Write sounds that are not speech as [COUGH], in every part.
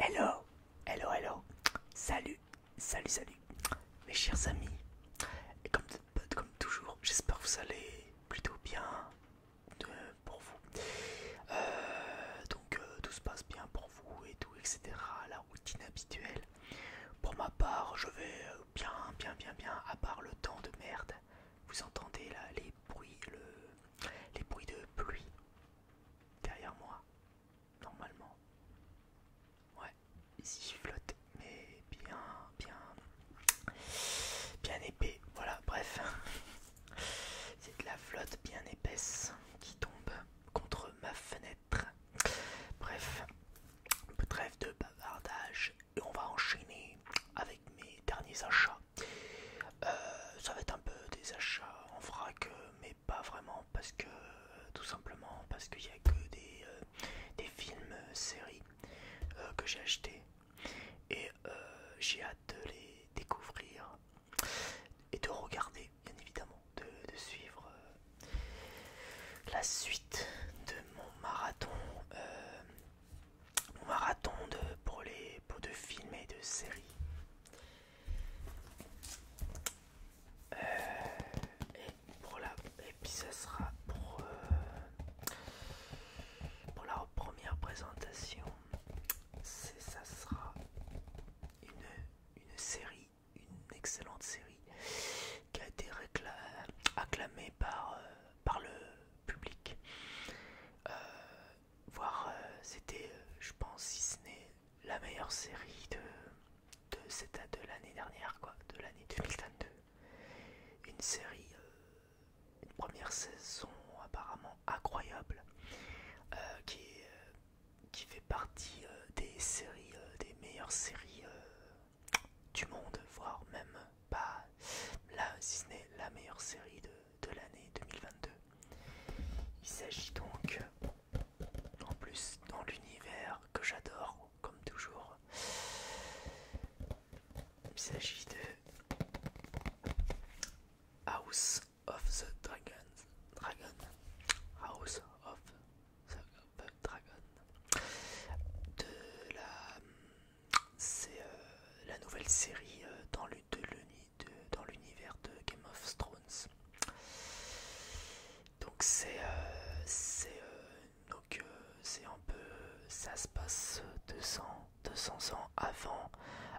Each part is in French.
Hello, hello, hello, salut, salut, salut, mes chers amis, et comme, toujours, j'espère que vous allez plutôt bien euh, pour vous. Euh, donc, euh, tout se passe bien pour vous et tout, etc. La routine habituelle. Pour ma part, je vais bien, bien, bien, bien, à part le temps de merde. Vous entendez là les bruits, les bruits de pluie derrière moi, normalement. Ouais, ici je flotte, mais bien, bien, bien épais. Voilà, bref, [LAUGHS] c'est de la flotte bien épaisse qui tombe contre ma fenêtre. Bref, trêve de bavardage et on va enchaîner avec mes derniers achats. Euh, ça va être un peu des achats en vrac, euh, mais pas vraiment parce que tout simplement parce qu'il n'y a que des, euh, des films séries que j'ai achetés et j'ai hâte de les découvrir et de regarder bien évidemment de, suivre la suite de mon marathon mon marathon de pour les pots de films et de séries euh, et pour la puis ça sera pour euh, pour la première présentation ça sera une, série une excellente série qui a été acclamée par, euh, par le public voir euh, c'était, euh, je pense, si ce n'est la meilleure série de, de de l'année dernière, quoi, de l'année 2022. Une série, euh, une première saison apparemment incroyable, qui, qui fait partie des séries, des meilleures séries du monde, voire même pas là, si ce n'est la meilleure série de de l'année 2022. Il s'agit donc, en plus, dans l'univers que j'adore, comme toujours, il s'agit de House of the Dragon. Dragon. House of the Dragon. De la. C'est euh, la nouvelle série euh, dans l'univers de dans l'univers de Game of Thrones. Donc c'est euh, c'est euh, donc euh, c'est un peu ça se passe 200 200 ans avant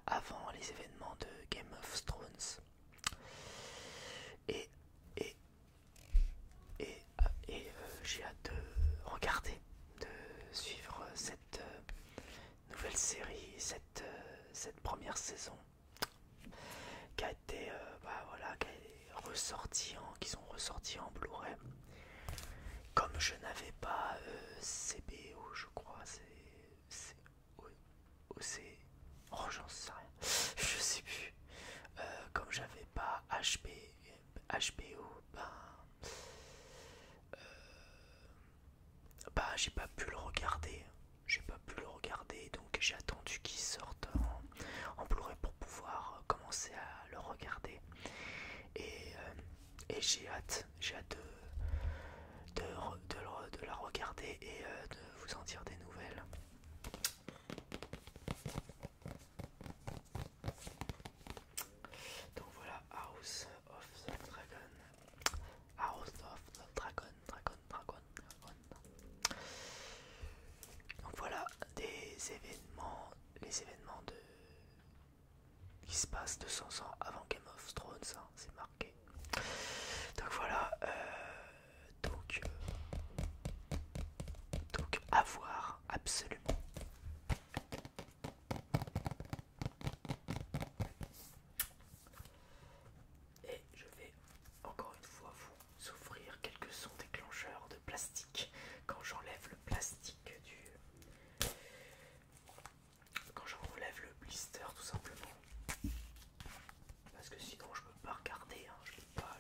avant les événements de Game of Thrones. Et et et, et j'ai hâte de regarder de suivre cette nouvelle série, cette, euh, cette première saison qui a été euh, bah, voilà, qui ressorti en, qui sont ressortis en Blu-ray. Comme je n'avais pas euh, CBO, je crois, c'est OC, oh j'en sais rien, [LAUGHS] je sais plus. comme j'avais pas HP, HBO, ben bah j'ai pas pu le regarder j'ai pas pu le regarder donc j'ai attendu qu'il sorte en, Blu-ray pour pouvoir euh, commencer à le regarder et, euh, j'ai hâte j'ai de, de, la regarder et euh, de vous en dire des nouvelles donc voilà House of the Dragon House of Dragon, Dragon, Dragon, Dragon. Donc voilà des événements, les événements de qui se passent 200 ans avant Game of Thrones, hein, c'est marqué. Donc voilà, euh, donc, euh, donc à voir absolument. Et je vais encore une fois vous offrir quelques sons déclencheurs de plastique quand j'enlève le plastique du. Quand j'enlève le blister tout simplement. Parce que sinon je peux pas regarder, je hein. je peux pas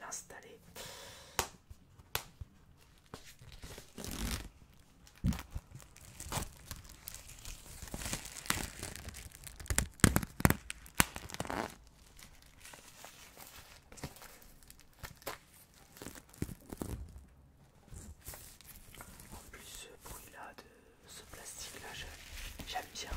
l'installer. En plus ce bruit là de ce plastique là j'aime bien.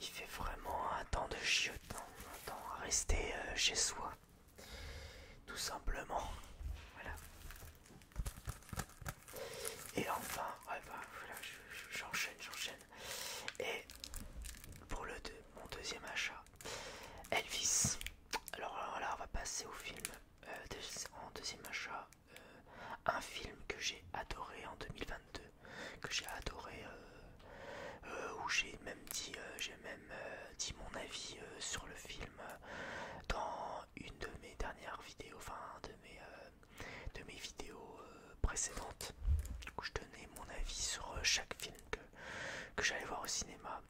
Il fait vraiment un temps de chiot, hein. un temps à rester euh, chez soi, tout simplement. Voilà. Et enfin, bah, voilà, j'enchaîne, j'enchaîne. Et pour le mon deuxième achat, Elvis. Alors euh, là, on va passer au film euh, en deuxième achat un film que j'ai adoré en 2022, que j'ai adoré, euh, euh, où j'ai même dit, euh, j'ai même dit mon avis sur le film dans une de mes dernières vidéos, enfin de mes, de mes vidéos précédentes, où je donnais mon avis sur chaque film que j'allais voir au cinéma.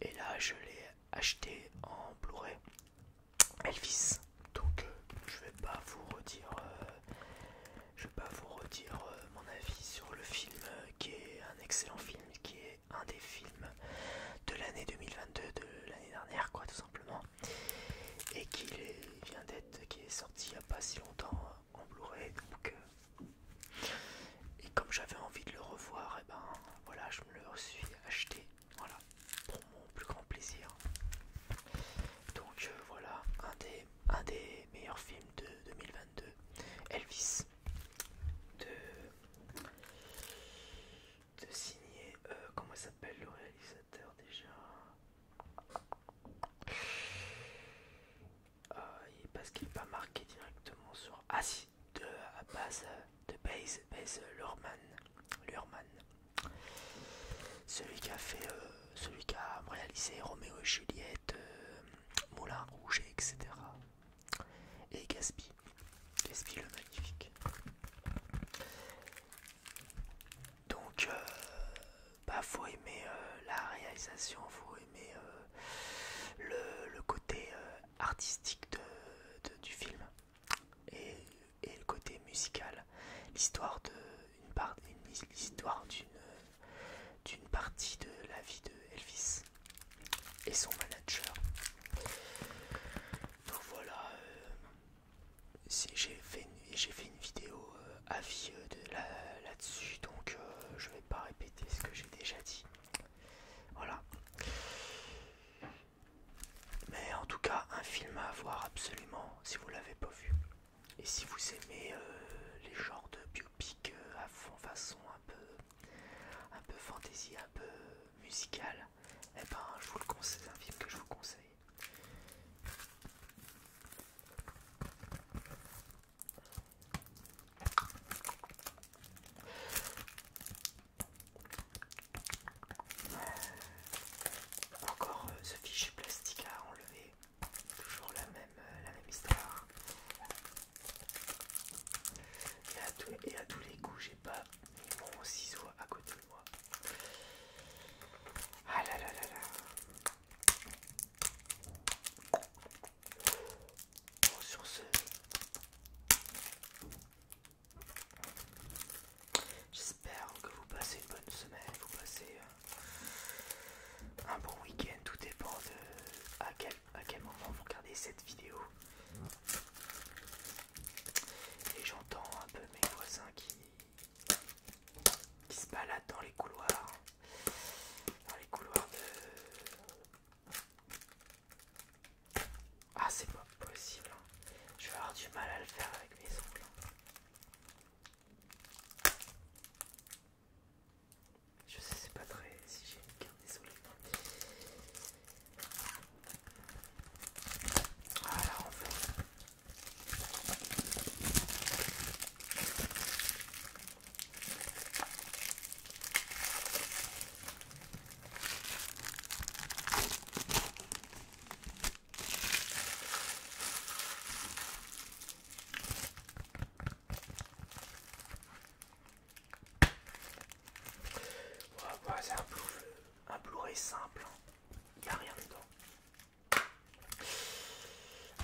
Et là, je l'ai acheté en Blu-ray Elvis. Donc euh, je vais pas vous redire, euh, vais pas vous redire euh, mon avis sur le film qui est un excellent film, qui est un des films de l'année 2022, de l'année dernière quoi tout simplement, et qui est, vient d'être, qui est sorti il y a pas si longtemps en Blu-ray. et comme j'avais envie de le revoir, et eh ben voilà, je me le suis acheté voilà, pour mon plus grand plaisir. Donc euh, voilà, un des, un des meilleurs films de 2022, Elvis, de, de signer, euh, comment s'appelle le réalisateur déjà euh, Parce qu'il n'est pas marqué directement sur... Ah si, de à base de Base, Luhrmann Celui qui a fait, euh, celui qui a réalisé Roméo et Juliette, euh, Moulin Rouge, etc. Et Gaspi Gaspi le magnifique. Donc, vous euh, bah, faut aimer la réalisation, faut aimer le, côté artistique du film et, le côté musical, l'histoire d'une d'une partie de la vie de Elvis et son manager. Donc voilà, euh, j'ai fait, une vidéo euh, à vieux euh, de là-dessus, donc je vais pas répéter ce que j'ai déjà dit. Voilà. Mais en tout cas, un film à voir absolument si vous l'avez pas vu. Et si vous aimez euh, les genres de biopic euh, à fond façon un peu, un peu fantasy, un peu musical, et eh ben je vous le conseille, c'est un film que je vous conseille. Encore euh, ce fichier plastique à enlever, toujours la même, euh, histoire. Et à, tous les coups, j'ai pas mon ciseau à côté de moi. Ah là là là là. Bon, sur ce, J'espère que vous passez une bonne semaine, vous passez euh, un bon week-end, tout dépend de à quel, à quel moment vous regardez cette vidéo. Et j'entends un peu mes voisins qui, qui se baladent dans les couloirs, dans les couloirs de ah, c'est pas possible. Hein. Je vais avoir du mal à le faire avec mes ongles. Hein. Je sais, c'est pas très si hygiénique, carte désolé. Voilà, on voilà, bah, c'est un Blu-ray simple, il hein. n'y a rien dedans.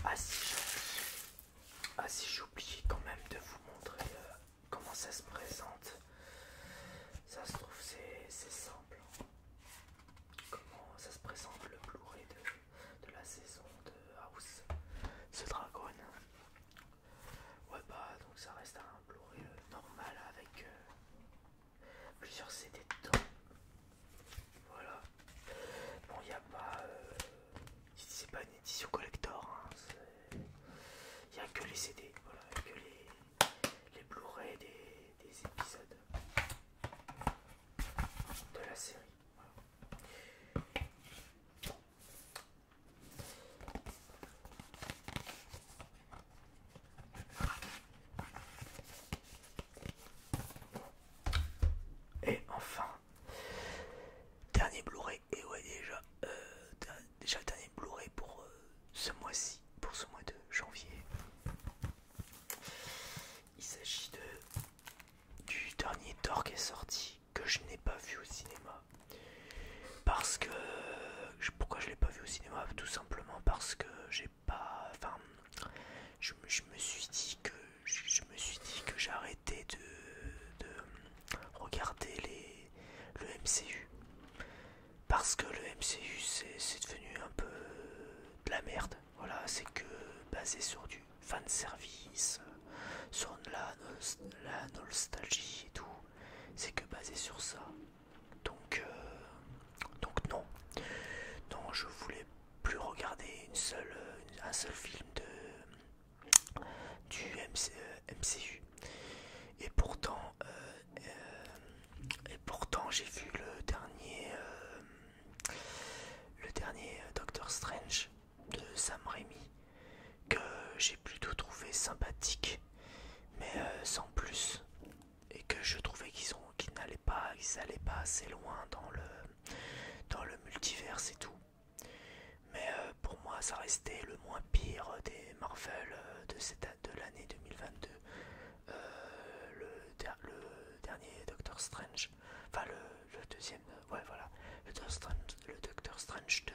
Ah, ah si j'ai oublié quand même de vous montrer euh, comment ça se présente. Ça se trouve, c'est simple. Comment ça se présente le Blu-ray de, la saison de House ce Dragon. Ouais, bah, donc ça reste un Blu-ray euh, normal avec euh, plusieurs CD dedans. Voilà. Bon, il n'y a pas. Euh, c'est pas une édition collector, il hein, a que les CD, voilà, les, les Blu-ray des, épisodes de la série. Et enfin, dernier Blu-ray, et ouais déjà, euh, déjà le dernier Blu-ray pour euh, ce mois-ci, pour ce mois de janvier. Il s'agit de du dernier Thor qui est sorti que je n'ai pas vu au cinéma. Parce que pourquoi je l'ai pas vu au cinéma Tout simplement parce que j'ai pas. Enfin, je, je me suis dit que je me suis dit que j'arrêtais de, de regarder les le MCU parce que le MCU c'est devenu un peu de la merde. Voilà, c'est que basé sur du fan service, sur la, la nostalgie et tout, c'est que basé sur ça. Donc, euh, donc non, non, je voulais plus regarder une seule, un seul film de du MCU. Euh, et pourtant, euh, euh, et pourtant j'ai vu le dernier euh, le dernier Doctor Strange de Sam Raimi que j'ai plutôt trouvé sympathique mais euh, sans plus et que je trouvais qu'ils n'allaient pas pas assez loin dans le dans le multiverse et tout mais pour moi ça restait le moins pire des Marvel euh, de cette de l'année 2022, euh, le, dernier Doctor Strange, enfin le, deuxième, euh, ouais voilà, le Doctor Strange, 2,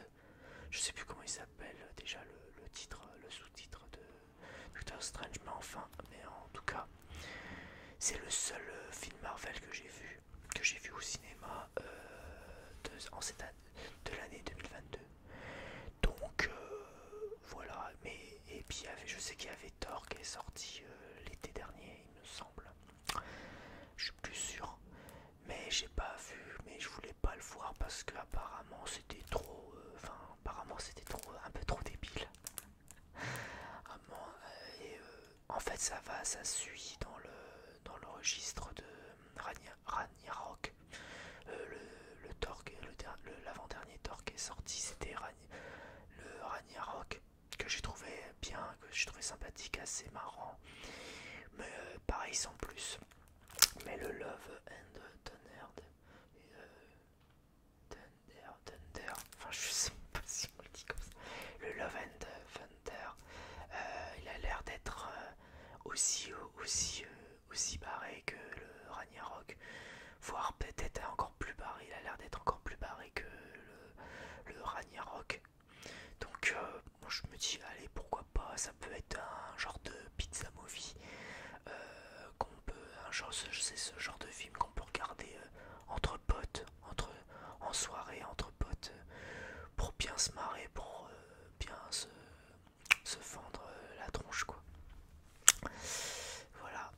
je sais plus comment il s'appelle déjà le, titre, le sous-titre de Doctor Strange, mais enfin, mais en tout cas, c'est le seul film Marvel que j'ai vu, que j'ai vu au cinéma de, cette de l'année 2022. Donc euh, voilà, mais et puis je sais qu'il y avait Thor qui est sorti euh, l'été dernier, il me semble. Je suis plus sûr, mais j'ai pas vu, mais je voulais pas le voir parce que apparemment c'était trop, euh, enfin apparemment c'était trop, un peu trop débile. Ah, en fait ça va, ça suit dans le dans le registre de Ragnarok euh, le, l'avant-dernier torque est sorti, c'était le Ragnarok que j'ai trouvé bien, que j'ai trouvé sympathique, assez marrant. Mais euh, pareil sans plus. Mais le Love and Thunder, euh, Thunder, Thunder, enfin je sais pas si on le dit comme ça. Le Love and Thunder, il a l'air d'être aussi, aussi aussi barré que le Ragnarok, voire peut-être encore plus barré. Il a l'air d'être encore plus barré que le, Ragnarok. Donc, moi, euh, je me dis, allez, pourquoi pas, ça peut être un genre de pizza movie. Euh, qu'on peut, un c'est ce genre de film qu'on peut regarder euh, entre potes, entre, en soirée, entre potes, pour bien se marrer, pour bien se, se fendre euh, la tronche quoi voilà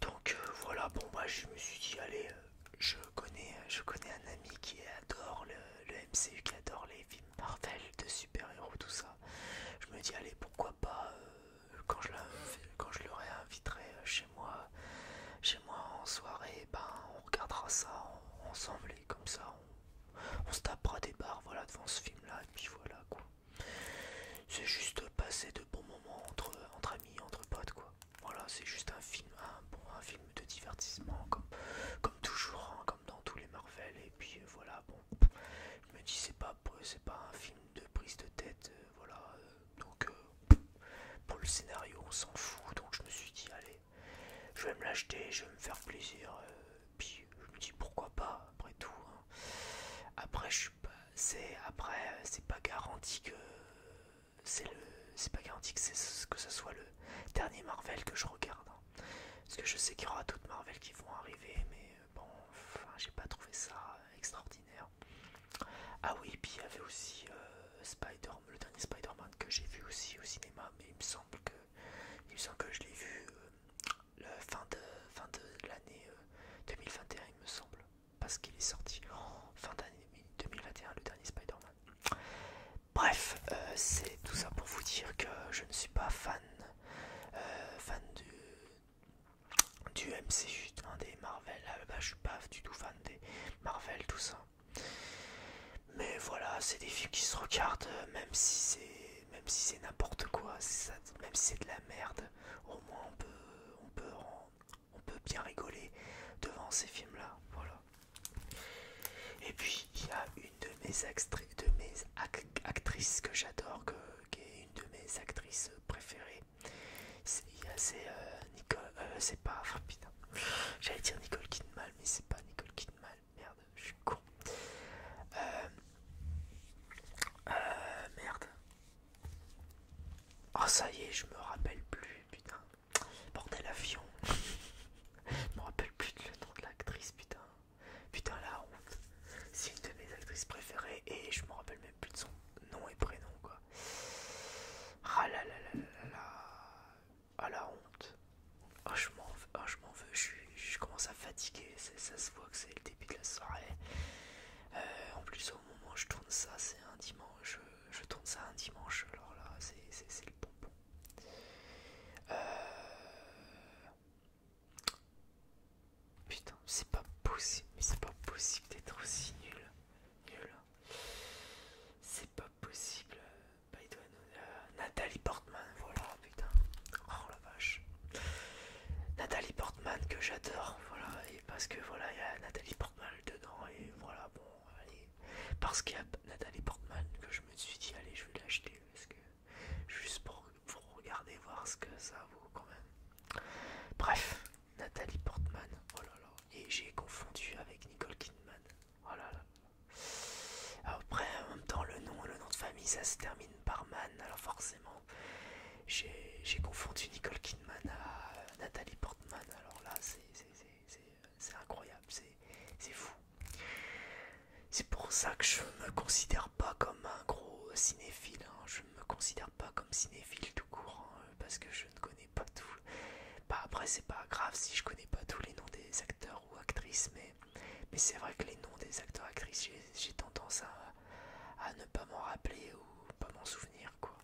donc euh, voilà bon moi je me suis dit allez euh, je connais je connais un ami qui adore le, le MCU qui adore les films Marvel de super héros tout ça je me dis allez pourquoi pas quand je quand je le réinviterai chez moi chez moi en soirée ben on regardera ça ensemble et comme ça on se tapera des barres voilà devant ce film là et puis voilà quoi c'est juste passer de bons moments entre, amis entre potes quoi voilà c'est juste un film un bon film de divertissement comme comme toujours hein, comme dans tous les Marvel et puis euh, voilà bon je me dis c'est pas euh, c'est pas un film de prise de tête euh, voilà donc pour le scénario on s'en fout donc je me suis dit allez je vais me l'acheter, je vais me faire plaisir. Euh, puis je me dis pourquoi pas, après tout. Hein. Après, je suis C'est après, euh, c'est pas garanti que c'est c'est pas garanti que c'est que ce soit le dernier Marvel que je regarde. Hein. Parce que je sais qu'il y aura d'autres Marvel qui vont arriver, mais euh, bon, enfin, j'ai pas trouvé ça extraordinaire. Ah oui, puis il y avait aussi man le dernier Spider-Man que j'ai vu aussi au cinéma, mais il me semble que il me semble que je l'ai vu euh, fin de, fin l'année 2021, euh, il me semble, parce qu'il est sorti oh, fin d'année 2021, le dernier Spider-Man. Bref, euh, c'est tout ça pour vous dire que je ne suis pas fan, fan du, du MCU, des Marvel. Ah, bah, je suis pas du tout fan des Marvel, tout ça. Mais voilà, c'est des films qui se regardent, euh, même si c'est même si c'est n'importe quoi, même si c'est de la merde, au moins on peut, bien rigoler devant ces films-là, voilà. Et puis il y a une de mes, actrices que j'adore, qui est une de mes actrices préférées. C'est euh, Nicole, euh, c'est pas, j'allais dire Nicole Kidman, mais c'est pas Nicole Kidman, merde, je suis con. Euh, euh, merde. Oh ça y est, je me rappelle plus, putain. Bordel avion. je me rappelle plus de le nom de l'actrice, putain. Putain la honte. C'est une de mes actrices préférées et je me rappelle même plus de son nom et prénom quoi. Ah là là là là là là à ah, la honte. Ah, ah, je m'en veux, je, commence à fatiguer, ça se voit que c'est le début de la soirée. Euh, en plus, au moment où je tourne ça, c'est un dimanche. Je, tourne ça un dimanche, alors là, c'est le bonbon. Euh, putain, c'est pas possible, mais c'est pas possible d'être aussi nul. Nul. C'est pas possible. Bah, euh, Nathalie Portman, voilà, putain. Oh la vache. Nathalie Portman que j'adore, voilà, et parce que voilà, il y a Nathalie Portman dedans, et voilà, bon, allez. Parce qu'il y a Nathalie Portman que je me suis dit, allez, je vais l'acheter, parce que juste pour, regarder, voir ce que ça vaut quand même. Bref, Nathalie Portman, oh là là, et j'ai confondu avec Nicole Kidman, oh là là, après, en même temps, le nom, le nom de famille, ça se termine par Man, alors forcément, j'ai confondu Nicole Kidman à Nathalie Portman, alors là, c'est incroyable, c'est fou. C'est pour ça que je me considère pas comme un gros cinéphile, hein. je ne me considère pas comme cinéphile tout court, hein, parce que je ne connais pas tout. Bah, après, c'est pas grave si je connais pas tous les noms des acteurs ou actrices, mais, c'est vrai que les noms des acteurs actrices, j'ai tendance à, ne pas m'en rappeler ou pas m'en souvenir quoi.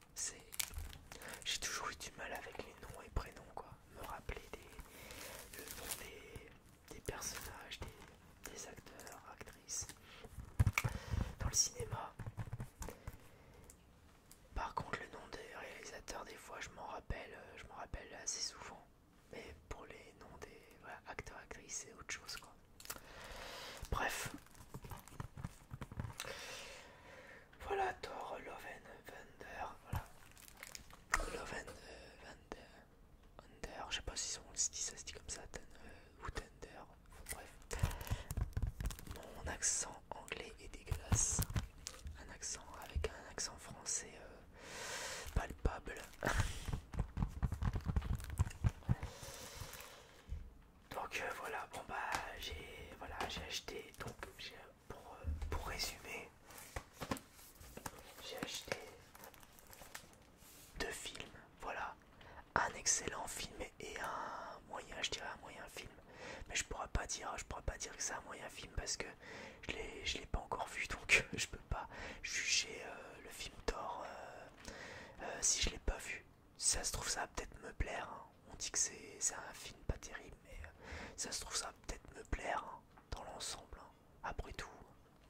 J'ai toujours eu du mal avec les noms et prénoms quoi. Me rappeler des, des, personnages, des, acteurs, actrices. Dans le cinéma. Par contre le nom des réalisateurs des fois je m'en rappelle, euh, je m'en rappelle assez souvent. Mais pour les noms des acteurs, actrices, c'est autre chose quoi. Bref. Voilà Thor Loven Vander. Voilà. Loven and euh, Vander. je sais pas si ça se dit comme ça, euh, ou Thunder, Bref. Mon accent anglais est dégueulasse. Un accent avec un accent français. Euh, palpable. Donc euh, voilà, bon bah j'ai voilà, j'ai acheté donc pour, euh, pour résumer, j'ai acheté deux films, voilà, un excellent film et un moyen, je dirais un moyen film, mais je pourrais pas dire, je pourrais pas dire que c'est un moyen film parce que je l'ai pas encore vu donc [LAUGHS] je peux pas juger euh, le film d'or euh, euh, si je l'ai pas vu. ça se trouve ça va peut-être me plaire. Hein. On dit que c'est un film pas terrible mais ça se trouve ça va peut-être me plaire hein, dans l'ensemble. Hein. Après tout,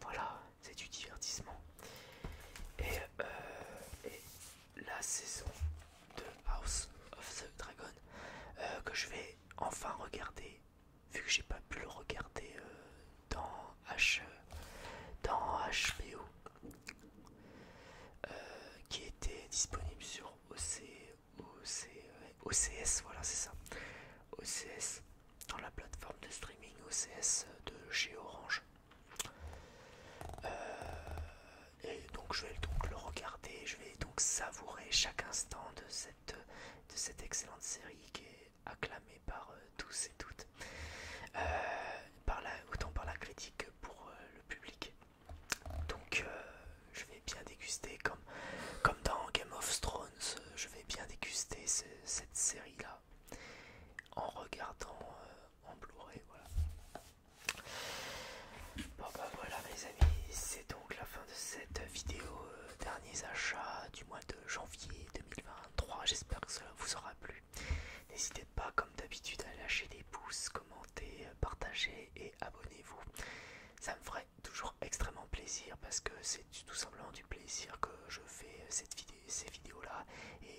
voilà, c'est du divertissement. Et, la saison de House of the Dragon que je vais enfin regarder vu que j'ai pas pu le regarder euh, dans, H, dans HBO, euh, qui était disponible sur OCS, voilà c'est ça, OCS, dans la plateforme de streaming OCS de chez Orange. Euh, et donc je vais donc le regarder, je vais donc savourer chaque instant de cette de cette excellente série qui est acclamée par euh, tous et toutes, euh, par autant par la critique que pour euh, le public. Donc je vais bien déguster, comme, comme dans Game of Thrones, je vais bien déguster cette série-là en regardant en Blu-ray. Voilà. Bon bah voilà mes amis, c'est donc la fin de cette vidéo euh, derniers achats du mois de janvier 2023. J'espère que cela vous aura plu. N'hésitez pas comme d'habitude à lâcher des pouces, commenter, euh, partager et abonnez-vous. Ça me ferait toujours extrêmement plaisir parce que c'est tout simplement du plaisir que je fais euh, cette vidéo, ces vidéos-là et,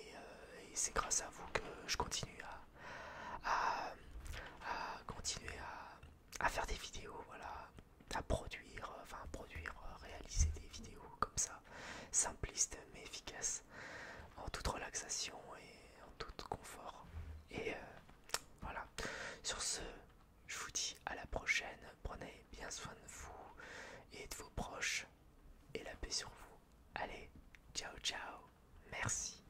c'est grâce à vous que je continue à continuer à à faire des vidéos, voilà, à produire, euh, enfin produire, euh, réaliser des vidéos comme ça, simplistes mais efficaces, en toute relaxation et en tout confort. Et euh, voilà, sur ce, je vous dis à la prochaine, prenez bien soin de vous et de vos proches, et la paix sur vous. Allez, ciao ciao, merci.